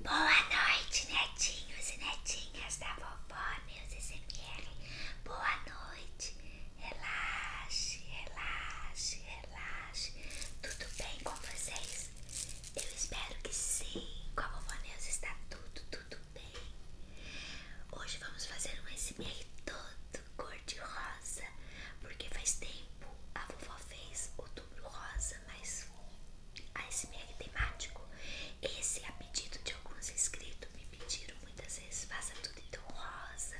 Boa noite, netinhos e netinhas da vovó Meus SMR. Boa noite. Relaxe, relaxe, relaxe. Tudo bem com vocês? Eu espero que sim. Com a vovó Neus está tudo, tudo bem. Hoje vamos fazer um SMR todo cor de rosa, porque faz tempo a vovó fez outubro rosa, mais iceberg temático. Esse, é a pedido de alguns inscritos, me pediram muitas vezes: faça tudo em rosa,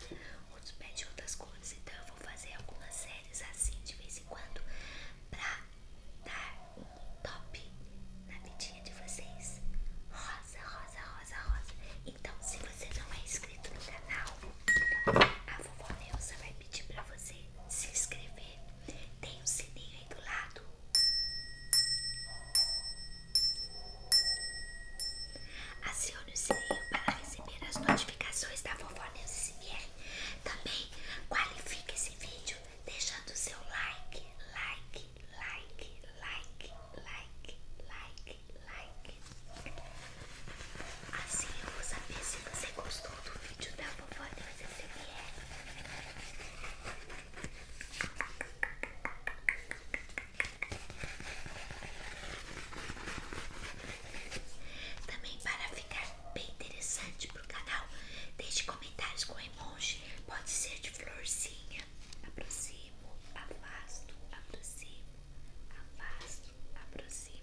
outros pedem outras cores. Então, eu vou fazer algumas séries assim de vez em quando pra dar um top na vidinha de vocês. Rosa, rosa, rosa, rosa. Então, se você não é inscrito no canal, a vovó Neuza vai pedir pra você se inscrever tem um sininho aí do lado. Acione o sininho para receber as notificações da Vovó News SMR. Também qualifique esse vídeo deixando seu like, like, like, like, like, like, like. Assim eu vou saber se você gostou do vídeo da vovó Neuza Xavier. Também para ficar bem interessante pro canal, deixe comentários com emoji, pode ser de florzinha, aproximo, afasto, aproximo, afasto, aproximo.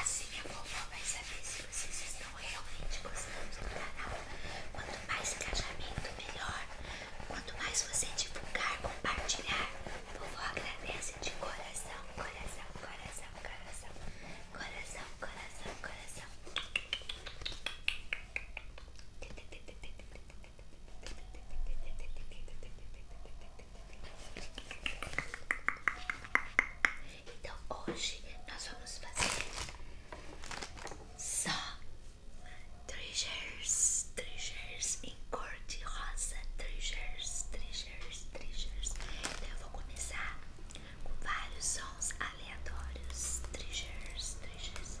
Assim a vovó vai saber se vocês estão realmente gostando do canal. Quanto mais engajamento, melhor. Quanto mais você divulgar, compartilhar, a vovó agradece de coração, coração, coração, coração, coração, coração, coração. Então hoje nós vamos fazer só treasures treasures em cor de rosa, treasures treasures treasures Então eu vou começar com vários sons aleatórios, treasures treasures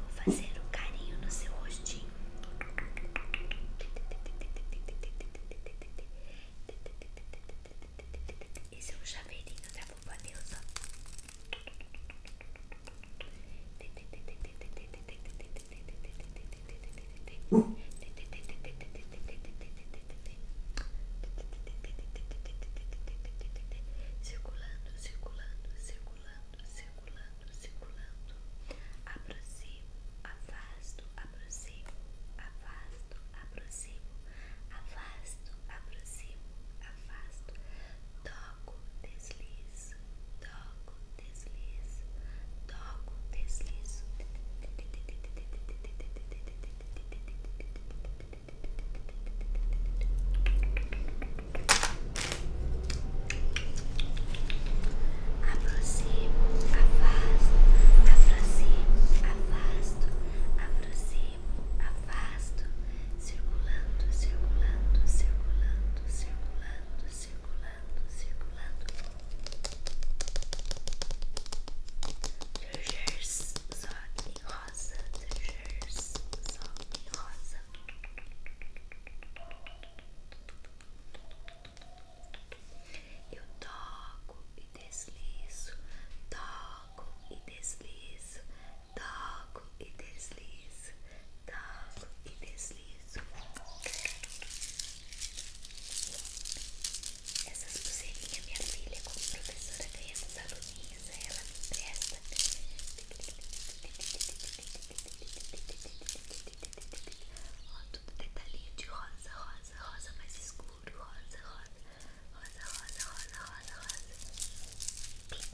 Vou fazer o carinho no seu rostinho. Esse é um chaveirinho da Boba Neuza. Uh. Circulando, circulando, circulando, circulando, aproximo, afasto, aproximo, afasto, aproximo, afasto, toco, deslizo, toco, deslizo, toco, deslizo aproximo, afasto, aproximo, afasto, aproximo, afasto, circulando, circulando, circulando, circulando, circulando, circulando. Trujers só em rosa, trujers só em rosa. Eu toco e deslizo, toco e deslizo, toco e deslizo, toco e deslizo. Essa pulseirinhas minha filha, como professora ganha dos aluninhos, ela me empresta. Ó, tudo detalhinho de rosa, rosa, rosa mais escuro rosa rosa, rosa, rosa, rosa, rosa, rosa, rosa. rosa rosa rosa rosa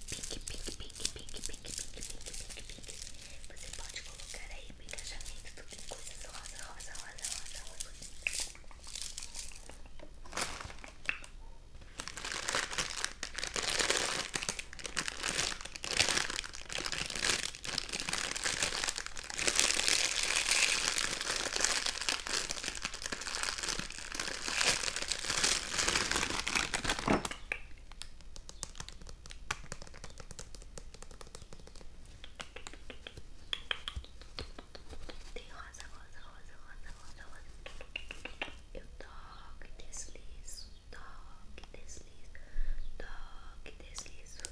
pink, pink, pink, pink, pink, pink. Você pode colocar aí no engajamento tudo em coisas rosa, rosa, rosa, rosa, rosa. Tem rosa, rosa, rosa, rosa, rosa, rosa. Eu toque, deslizo, toque, deslizo, toque, deslizo.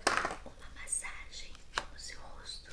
Uma massagem no seu rosto.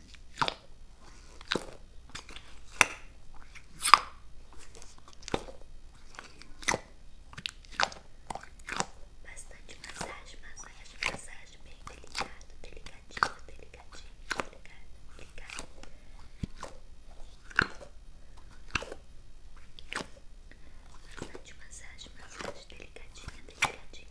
Bastante massagem, massagem, massagem, bem delicado, delicadinho, delicadinho, delicado, delicado. Bastante massagem, massagem, delicadinha, delicadinha.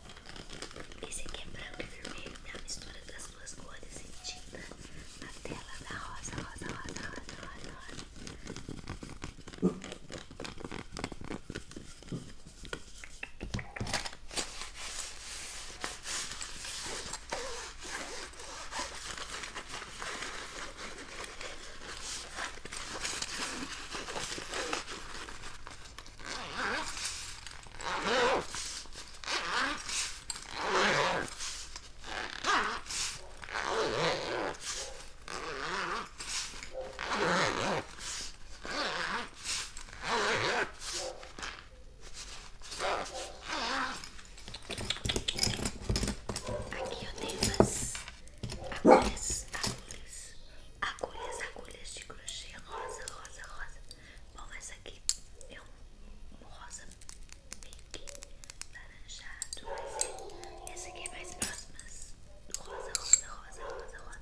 Esse aqui é branco e vermelho, é a mistura das duas cores em tinta na tela da rosa, rosa, rosa, rosa, rosa, Aqui eu tenho umas agulhas, agulhas, tá? agulhas, agulhas de crochê rosa, rosa, rosa. Bom, essa aqui é um rosa pink laranjado, mas essa aqui é mais próxima rosa, rosa, rosa, rosa, rosa.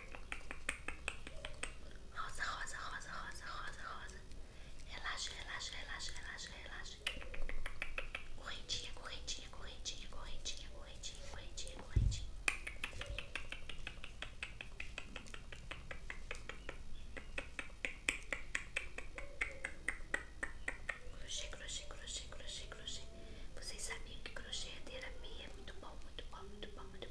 Rosa, rosa, rosa, rosa, rosa, rosa. Relaxa, relaxa, relaxa, relaxa, relaxa. Correntinha, correntinha, correntinha, correntinha, correntinha, correntinha, correntinha. Crochê, crochê, crochê, crochê, crochê. Vocês sabiam que crochê é terapia? Muito bom, muito bom, muito bom, muito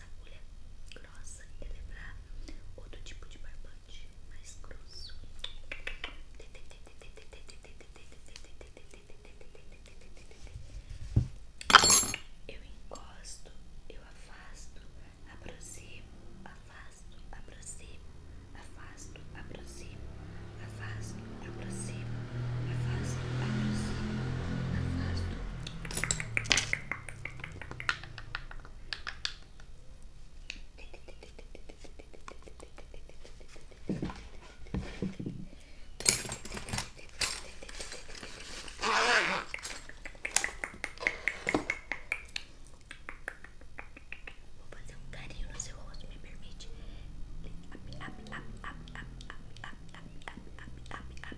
essa agulha grossa e levar outro tipo de barbante mais grosso. Eu encosto, eu afasto, aproximo, afasto, aproximo, afasto, aproximo, afasto, aproximo. Vou fazer um carinho no seu rosto, me permite. Up, up, up, up, up, up, up, up, up, up, up, up.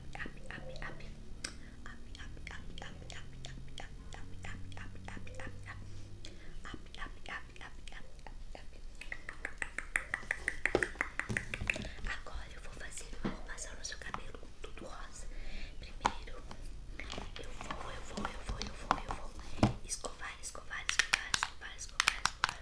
Agora eu vou fazer uma arrumação no seu cabelo tudo rosa. Primeiro eu vou, eu vou, eu vou, eu vou, eu vou escovar, escovar, escovar, escovar, escovar.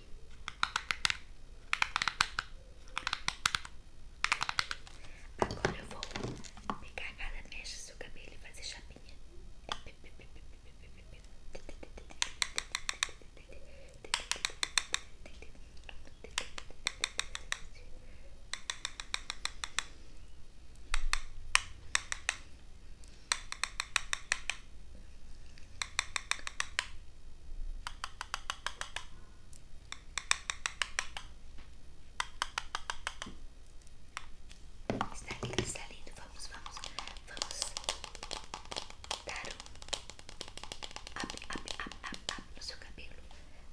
Agora eu vou pegar cada mecha seu cabelo e fazer chapinha. Está lindo, está lindo. Vamos, vamos, vamos dar um up, up, up, up, no seu cabelo,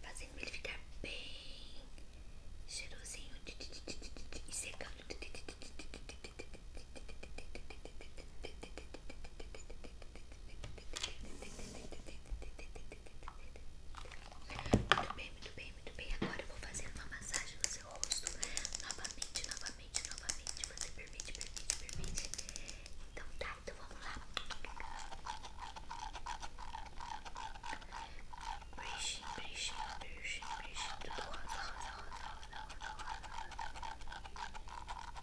fazendo ele ficar bem cheirosinho e secando. Muito bem, muito bem, muito bem. Agora eu vou fazer uma massagem no seu rosto. Novamente, novamente, novamente. Você permite, permite, permite. Então tá, então vamos lá. Brechinho, brechinho, brechinho, brechinho. Tudo rosa, rosa, rosa, rosa, rosa, rosa.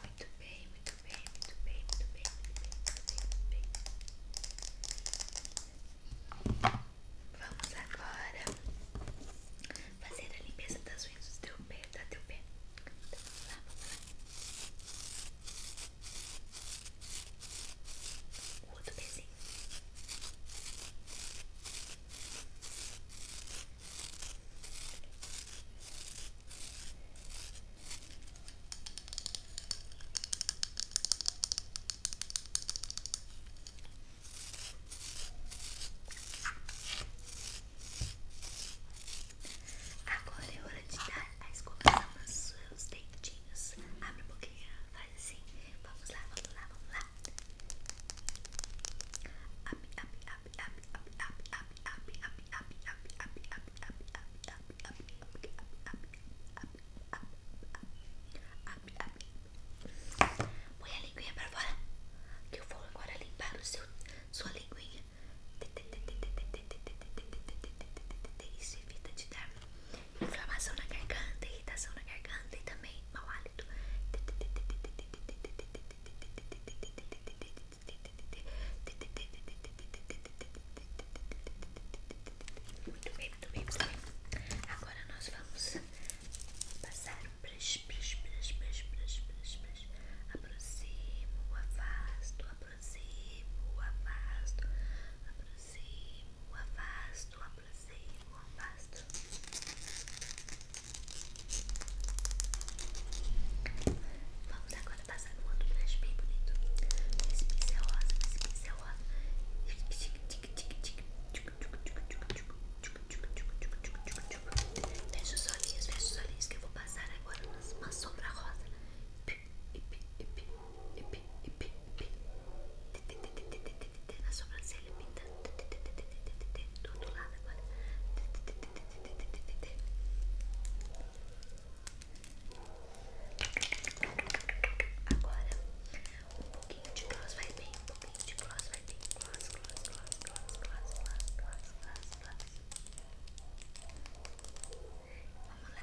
Muito bem, muito bem, muito bem, muito bem, muito bem, muito bem. Vamos agora fazer a limpeza das unhas do teu pé, tá? Teu pé. Então, vamos lá, vamos lá. O outro desenho. Agora é hora de dar a escova nos seus dentinhos. Abre um pouquinho, faz assim. Vamos lá, vamos lá, vamos lá. Abre, abre, abre. Põe a linguinha pra fora. Que eu vou agora limpar o seu, sua linguinha. Isso evita de dar inflamação na garganta, irritação na garganta e também mau hálito. Muito bem, muito bem, Agora nós vamos passar um brush, brush, brush, brush, brush, brush, brush. Aproximo, afasto, aproximo, afasto. Aproximo, afasto, aproximo, afasto. Vamos agora passar no outro blush bem bonito. Esse pincel rosa, esse pincel rosa. Fecha os olhinhos, fecha os olhinhos que eu vou passar agora uma sombra rosa. Na sobrancelha, pinta do outro lado agora. Agora, um pouquinho de gloss vai bem, um pouquinho de gloss vai bem. Gloss, gloss, gloss, gloss, gloss, gloss, gloss, gloss, gloss. Vamos lá.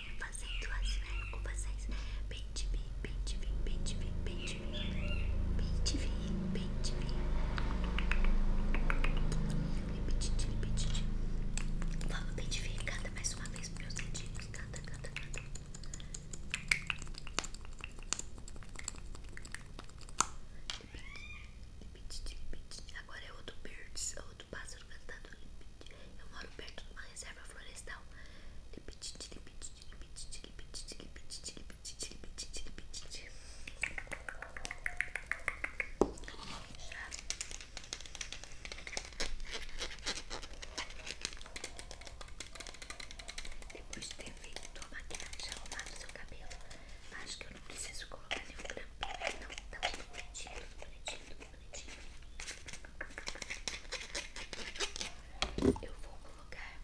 fazendo as ver com vocês. Pente vim pente vi, pente vi, pente vim pente vi, pente vi. Repetite, repetite. Vamos pente vi, canta mais uma vez para os dedinhos. Canta, canta, canta. Agora é outro birds, outro é pássaro cantando. Eu moro perto de uma reserva florestal. Lip, depois de ter feito a maquiagem, arrumado seu cabelo, acho que eu não preciso colocar nenhum grampinho, não. Tá tudo bonitinho, tudo bonitinho, tudo bonitinho. Eu vou colocar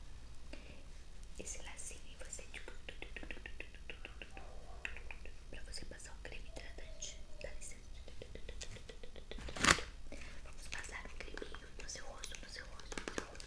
esse lacinho em você para você passar o creme hidratante. Dá licença. Vamos passar o creminho no seu rosto, no seu rosto, no seu rosto.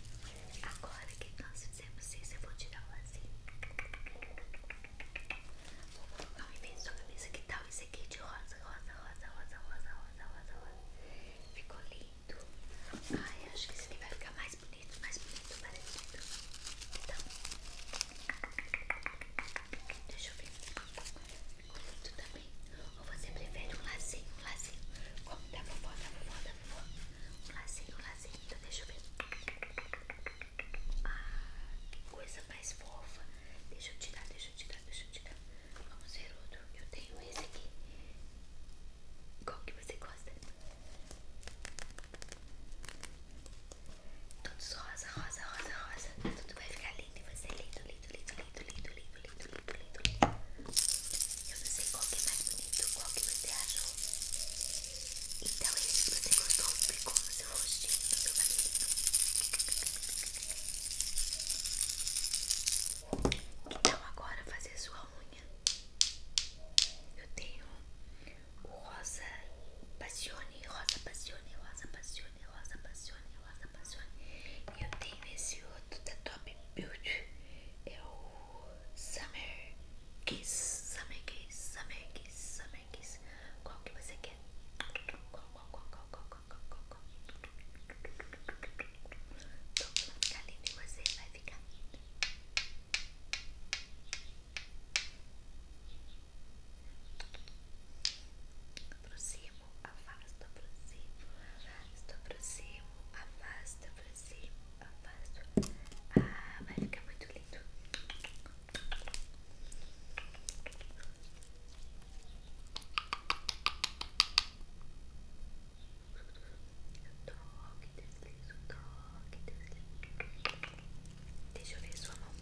Agora que nós fizemos isso, eu vou tirar o lacinho. Vou colocar um imenso sua cabeça. Que tal esse aqui de rosa, rosa, rosa, rosa, rosa, rosa, rosa, rosa? Ficou lindo. Ai, acho que esse aqui vai ficar mais bonito, mais bonito, parecido. Então, deixa eu ver. Ficou lindo também. Ou você prefere um lacinho, um lacinho? Como da vovó, da vovó, da vovó? Um lacinho, um lacinho, então deixa eu ver. Ah, que coisa mais fofa. Deixa eu tirar, deixa eu tirar, deixa eu tirar. Vamos ver outro. Eu tenho esse aqui. Qual que você gosta? Todos rosa, rosa, rosa, rosa. Tudo vai ficar lindo e você é lindo, lindo, lindo. Eu não sei qual que é mais bonito, qual que você achou. Então é isso, você gostou, ficou no seu rostinho, no seu cabelinho. Então agora fazer sua unha. Eu tenho o rosa passione, rosa passione, rosa passione, rosa passione, rosa passione. E eu tenho esse outro da Top Beauty eu é samer quis samer quis samer quis samer quis Qual que você quer? Qual, qual, qual, qual, qual, qual, qual, qual, qual? vai ficar lindo e você vai ficar lindo. Aproximo, afasto, aproximo, afasto. Afasto, aproximo, afasto, aproximo, afasto. Ah, vai ficar muito lindo. Toque, deslizo, toque, deslizo. Deixa eu ver sua mão.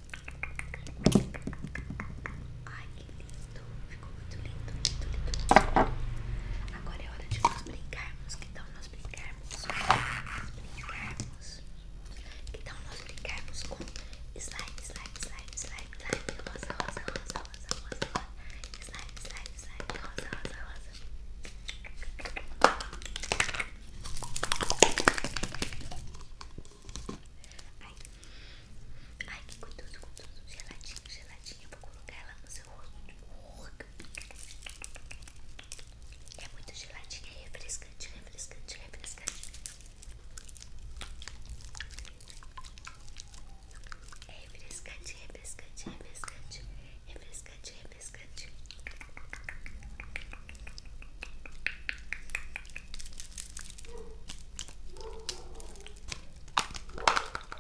Ai, que lindo. Ficou muito lindo, muito lindo. Agora é hora de nós brincarmos. Que tal nós brincarmos? Nós Que tal nós brincarmos com slime, slime, slime, slime, slime, rosa, rosa, rosa, rosa, rosa, slime, slime, slime, rosa, rosa, rosa. Ai, ai, que gostoso, gostoso, geladinho, geladinho geladinha, vou colocar ela no seu rosto. É muito geladinha, refrescante, refrescante, refrescante. É refrescante, refrescante, refrescante, refrescante, refrescante biscoitinho,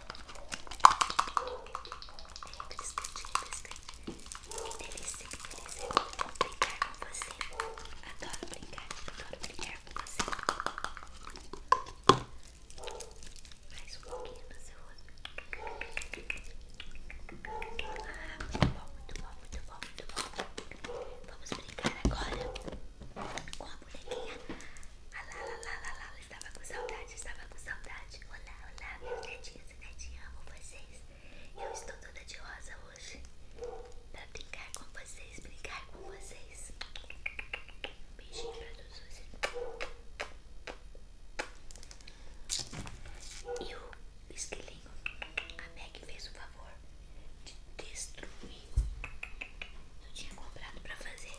biscoitinho. Que delícia, que delícia. Brincar com você. Adoro brincar, adoro brincar com você. Mais um pouquinho no seu rosto. Ah, muito bom, muito bom, muito bom, muito bom. Vamos brincar agora com a bonequinha. Ah, lá, lá, lá, lá, lá, estava com saudade, estava com saudade. Olá, olá, meus netinha e netinhas, amo vocês. Eu estou toda de rosa hoje pra brincar com vocês, brincar com vocês. Beijinho pra todos vocês. E o esquilinho, a Meg fez o favor de destruir. Eu tinha comprado pra fazer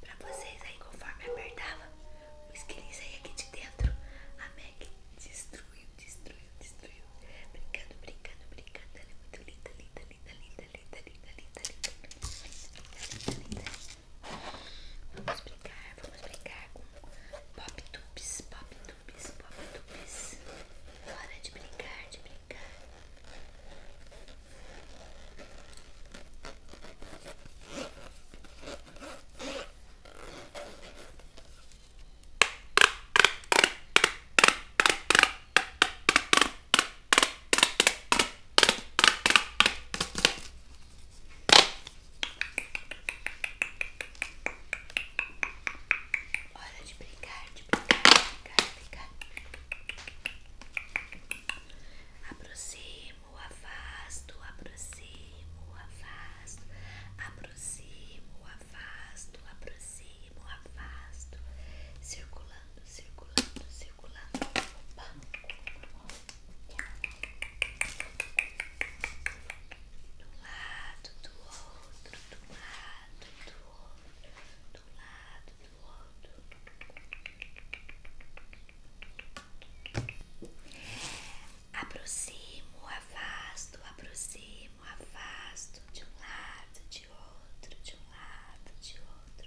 pra vocês aí conforme apertava os quilinhos saíam aqui de dentro. A Meg destruiu, destruiu, destruiu. Brincando, brincando, brincando. Ela é muito linda, linda, linda, linda, linda, linda, linda, linda, linda, linda, linda. Vamos brincar, vamos brincar com pop tubes, pop tubes, pop tubes. Hora de brincar, de brincar. Hora de brincar, de brincar, de brincar, de brincar. Aproxima, afasto, aproximo, afasto, aproximo, afasto, aproximo, afasto, circulando, circulando, circulando. Opa. um lado, do outro, do lado, do outro, do lado, Aproximo, afasto, aproximo, afasto de um lado, de outro, de um lado, de outro.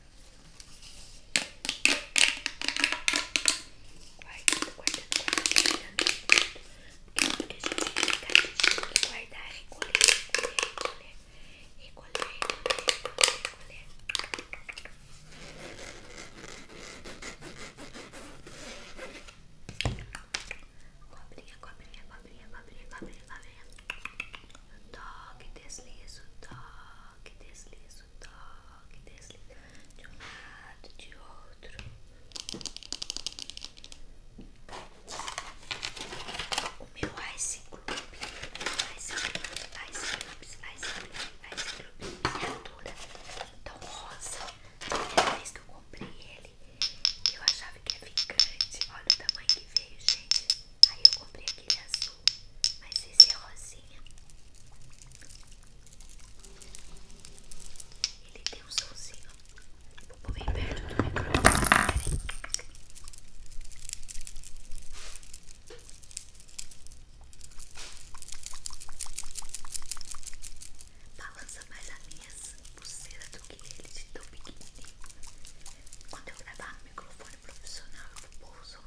Guardando, guardando, guardando, guardando. Porque a gente tem que guardar, recolher, recolher, recolher, recolher, recolher, recolher. Cobrinha, cobrinha, cobrinha, cobrinha, cobrinha, cobrinha. Toque, deslizo, toque, deslizo faço toque deslizando de um lado, de outro. O meu Ice Club, Ice Club, Ice Club, Ice Club, Ice Club, miniatura tão rosa. A primeira vez que eu comprei ele, eu achava que é ficante. Olha o tamanho que veio, gente. Aí eu comprei aquele azul. Mas esse é rosinha. Ele tem um somzinho. Vou pôr bem perto do microfone. Balança mais a minha pulseira do que ele de tão pequenininho. Quando eu gravar no microfone profissional, eu vou pôr o som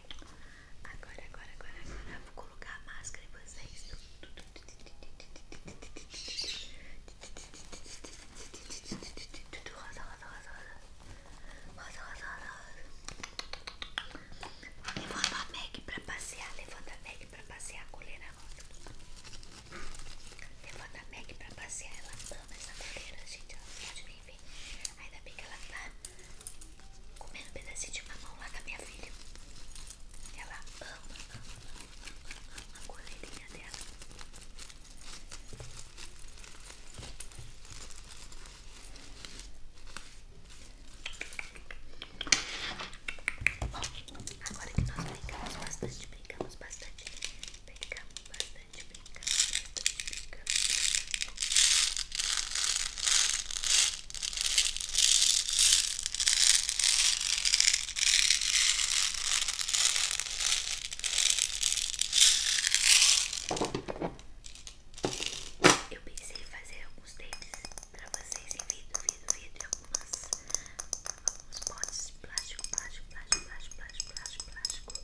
Agora, agora, agora, agora vou colocar a máscara em vocês. Tudo rosa, rosa, rosa, rosa. Rosa, rosa, rosa. Levanta a Meg pra passear. Levanta a Meg pra passear. Coleira rosa. Levanta a Meg pra passear. Ela ama essa coleira, gente. Ela pode me ver. Ainda bem que ela tá comendo pedacinho de mamão lá da minha filha. Ela ama, ama, ama, ama a coleirinha dela. Bom, agora que nós brincamos bastante, brincamos bastante, brincamos bastante bastante pica, bastante pica, eu pensei em fazer alguns deles pra vocês em vidro, vidro, vidro algumas, alguns potes de plástico, plástico, plástico, plástico, plástico, plástico, plástico, plástico.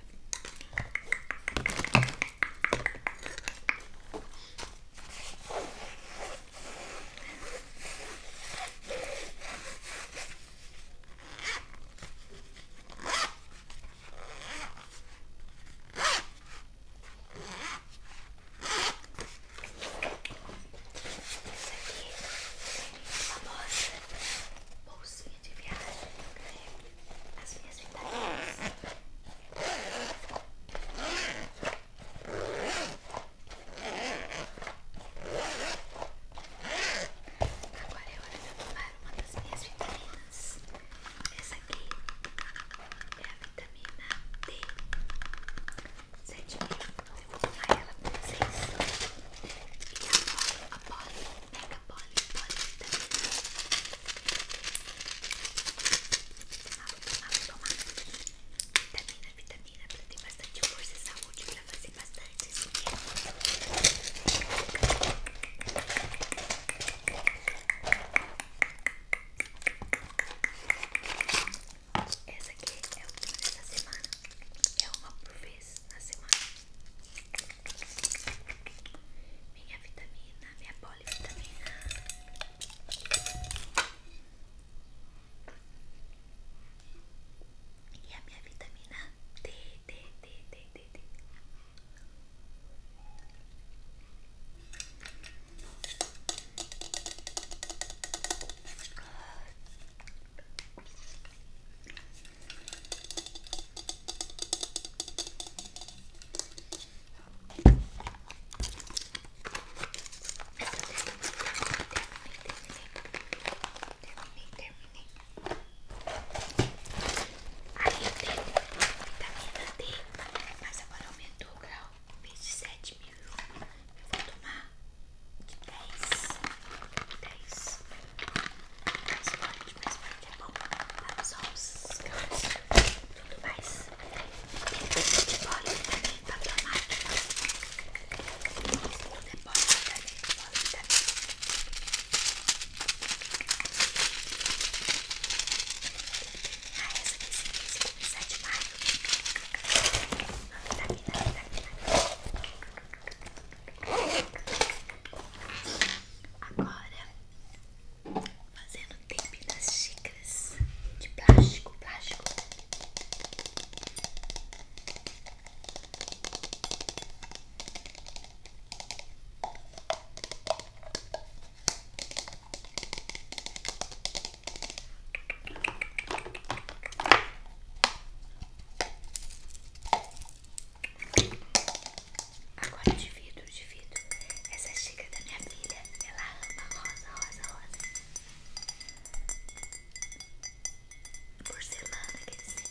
Essa aqui é a bolsinha de viagem que eu ganhei as minhas vitaminas. Agora é hora de eu tomar uma das minhas vitaminas. Essa aqui é a vitamina D. Sete mil. Eu vou tomar ela pra vocês. a poli, a poli pega poli, polivitamina Vamos tomar vitamina, vitamina Pra ter bastante força e saúde Pra fazer bastante essa aqui é a última dessa semana, é uma por vez na semana. Minha vitamina, minha polivitamina. E a minha vitamina D, D, D, D, D, D. Aí terminei. Aí teve vitamina D, mas agora aumentou o grau. Em vez de 7 mil, eu vou tomar de 10. 10 mais forte, mais forte é bom para os ossos, tudo mais. Tem coisa de bolinha também, papel mágico. Tudo é bolinha também, bolinha também. Ah, essa aqui sim, esse aqui é 7 de maio. Vitamina, vitamina. Agora, fazendo o das xícaras de plástico, plástico. Agora divido, divido. Essa xícara da minha filha, ela ama rosa, rosa, rosa. Porcelana, quer dizer.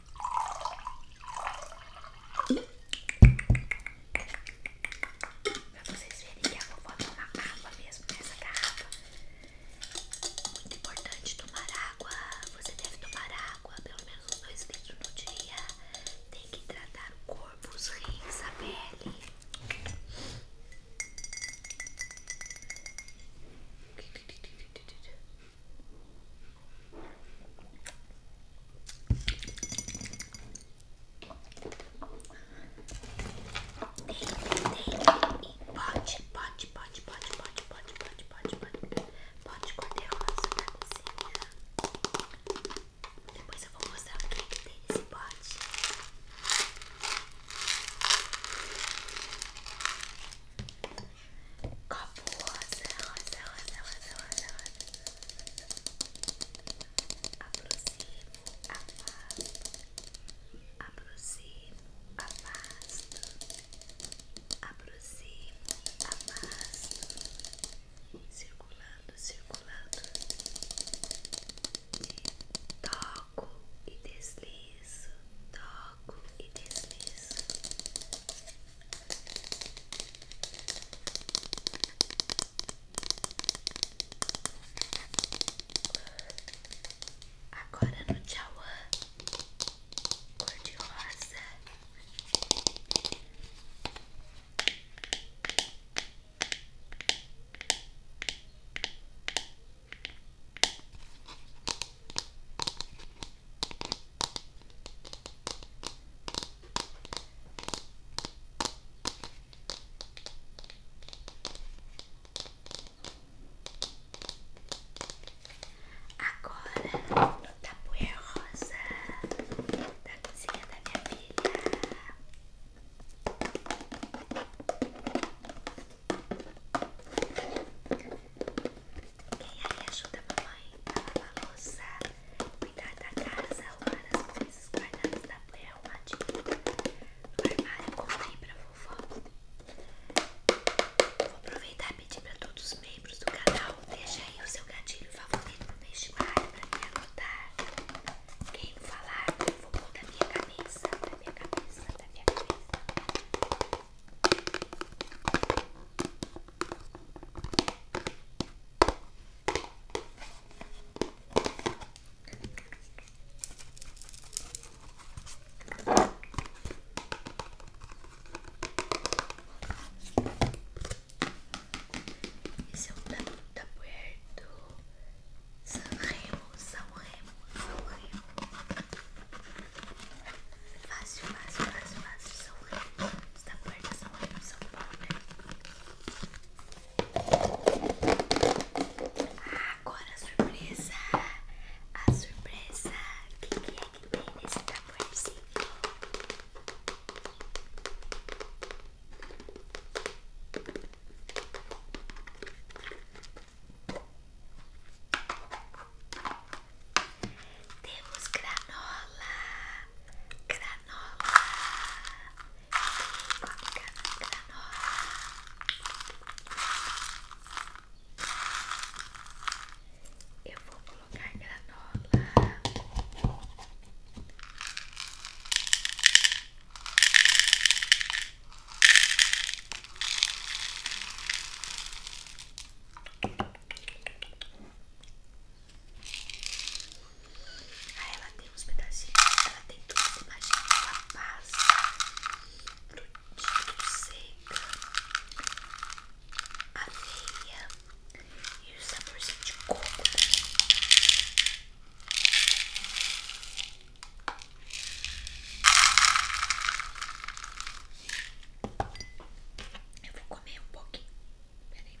Pra vocês verem que a vovó toma água mesmo nessa né? garrafa. Muito importante tomar água. Você deve tomar água pelo menos uns dois litros no dia. Tem que tratar o corpo, os rins, a pele. Pode, pode, pode, pode, pode, pode, pode, pode, pode. Pode cortar a rosa na cozinha. Depois eu vou mostrar o que, é que tem nesse pote. Copo rosa, rosa, rosa, rosa, rosa, rosa aproximo, afasto, aproximo, afasto, aproximo, afasto, circulando, circulando, toco e deslizo, toco e deslizo. Agora no Tchauã cor de rosa. Agora no tá tabuleiro rosa da tá cozinha da minha filha. Quem aí ajuda mamãe a lavar a louça? Cuidar da casa, arrumar as coisas guardadas da play arrumadinha no armário, contei pra vovó. Vou aproveitar e pedir pra todos os membros do canal deixa aí o seu gatilho favorito no vestibular pra me anotar. Quem falar, eu vou pôr da minha cabeça, da minha cabeça, da minha cabeça. Esse é o da, da Remo, São Remo, São Remo, Fácil, fácil, fácil, fácil, São Remo anos da parte são é aí São Paulo, né? agora a surpresa! A surpresa! que, que é que tem nesse tamborzinho? Temos granola! granola makan iya, granola eu vou colocar granola Aí ah, ela tem uns pedacinhos, ela tem tudo, imagina a pasta, frutinho seca, aveia e o saborzinho de coco também. Eu vou comer um pouquinho. Peraí.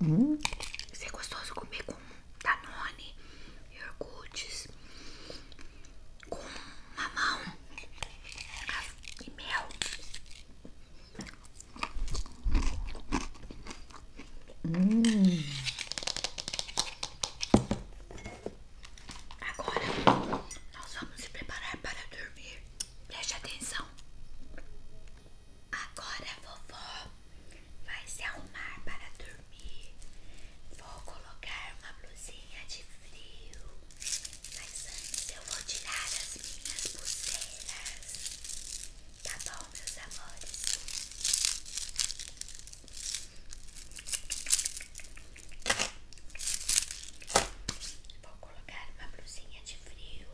Hum. Isso é gostoso comer com Danone, iogurtes, com mamão e mel. Hum. Agora nós vamos se preparar para dormir. Preste atenção. Agora vovó vai se arrumar para dormir. Vou colocar uma blusinha de frio. Mas antes eu vou tirar as minhas pulseiras. Tá bom, meus amores? Vou colocar uma blusinha de frio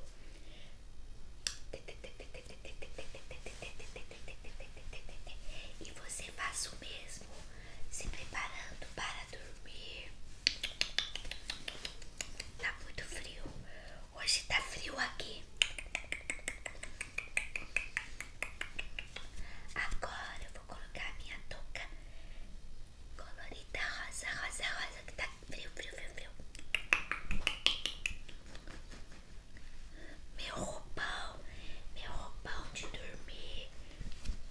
e você faz o mesmo, se preparando para dormir. Tá muito frio. Hoje tá frio aqui. Agora eu vou colocar a minha touca Colorida rosa, rosa, rosa que tá frio, frio, frio, frio. Meu roupão, meu roupão de dormir.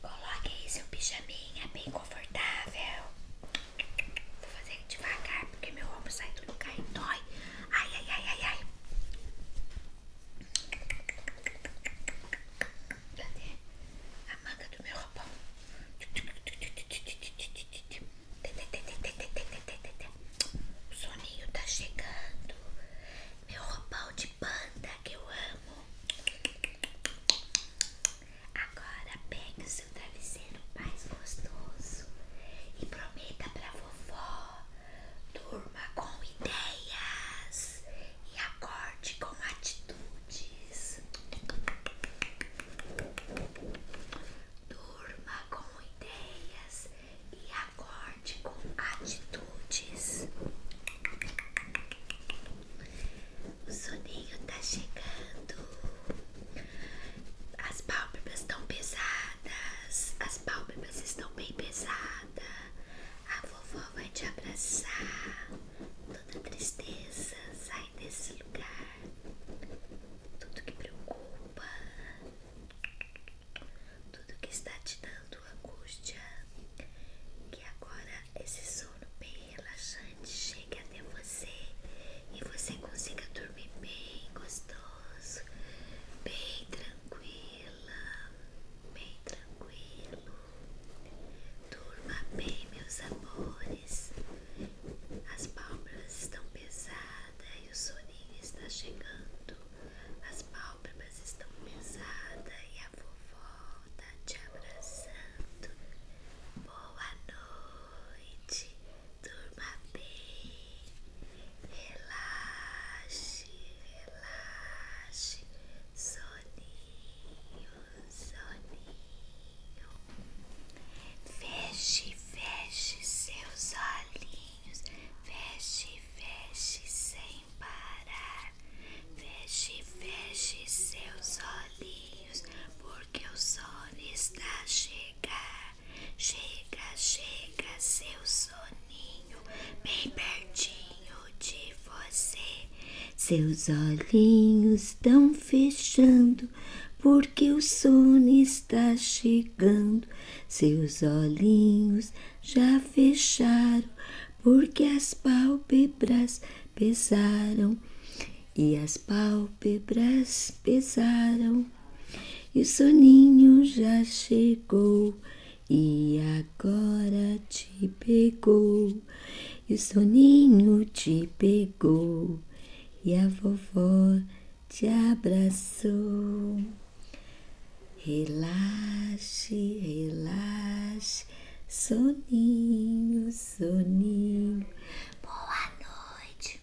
Coloque aí seu pijaminha bem confortável. Vou fazer devagar porque meu ombro sai tudo lugar e dói. Ai, ai, ai, ai, ai. Cadê a manga do meu roupão? O soninho tá chegando. Meu roupão de panda que eu amo. Agora pegue o seu travesseiro mais gostoso e prometa pra vovó. Durma com ideias e acorde com atitude noites. Durma com ideias e acorde com atitudes. O soninho tá chegando. As pálpebras estão pesadas. As pálpebras estão bem pesadas. A vovó vai te abraçar. Toda tristeza sai nesse lugar. Tudo que preocupa, tudo que está te dando angústia, que agora esse sono bem relaxante chegue até você e você consiga dormir bem gostoso, bem tranquila, bem tranquilo. Durma bem, meus amores. As pálpebras estão pesadas e o soninho está chegando. As pálpebras estão pesadas e a vovó está te abraçando. Boa noite, durma bem, relaxe, relaxe, soninho, soninho. Feche, feche seus olhinhos. Feche, feche sem parar. Feche, feche seus olhinhos. Porque o sono está a chegar. Chega, chega seu soninho. Bem pertinho de você. Seus olhinhos estão fechando. Por porque o sono está chegando, seus olhinhos já fecharam, porque as pálpebras pesaram, e as pálpebras pesaram, e o soninho já chegou, e agora te pegou, e o soninho te pegou e a vovó te abraçou. Relaxe, relaxe, soninho, soninho. Boa noite.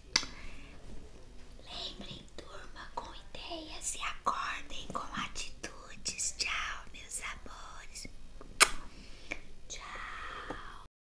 Lembrem, turma, com ideias e acordem com atitudes. Tchau, meus amores. Tchau.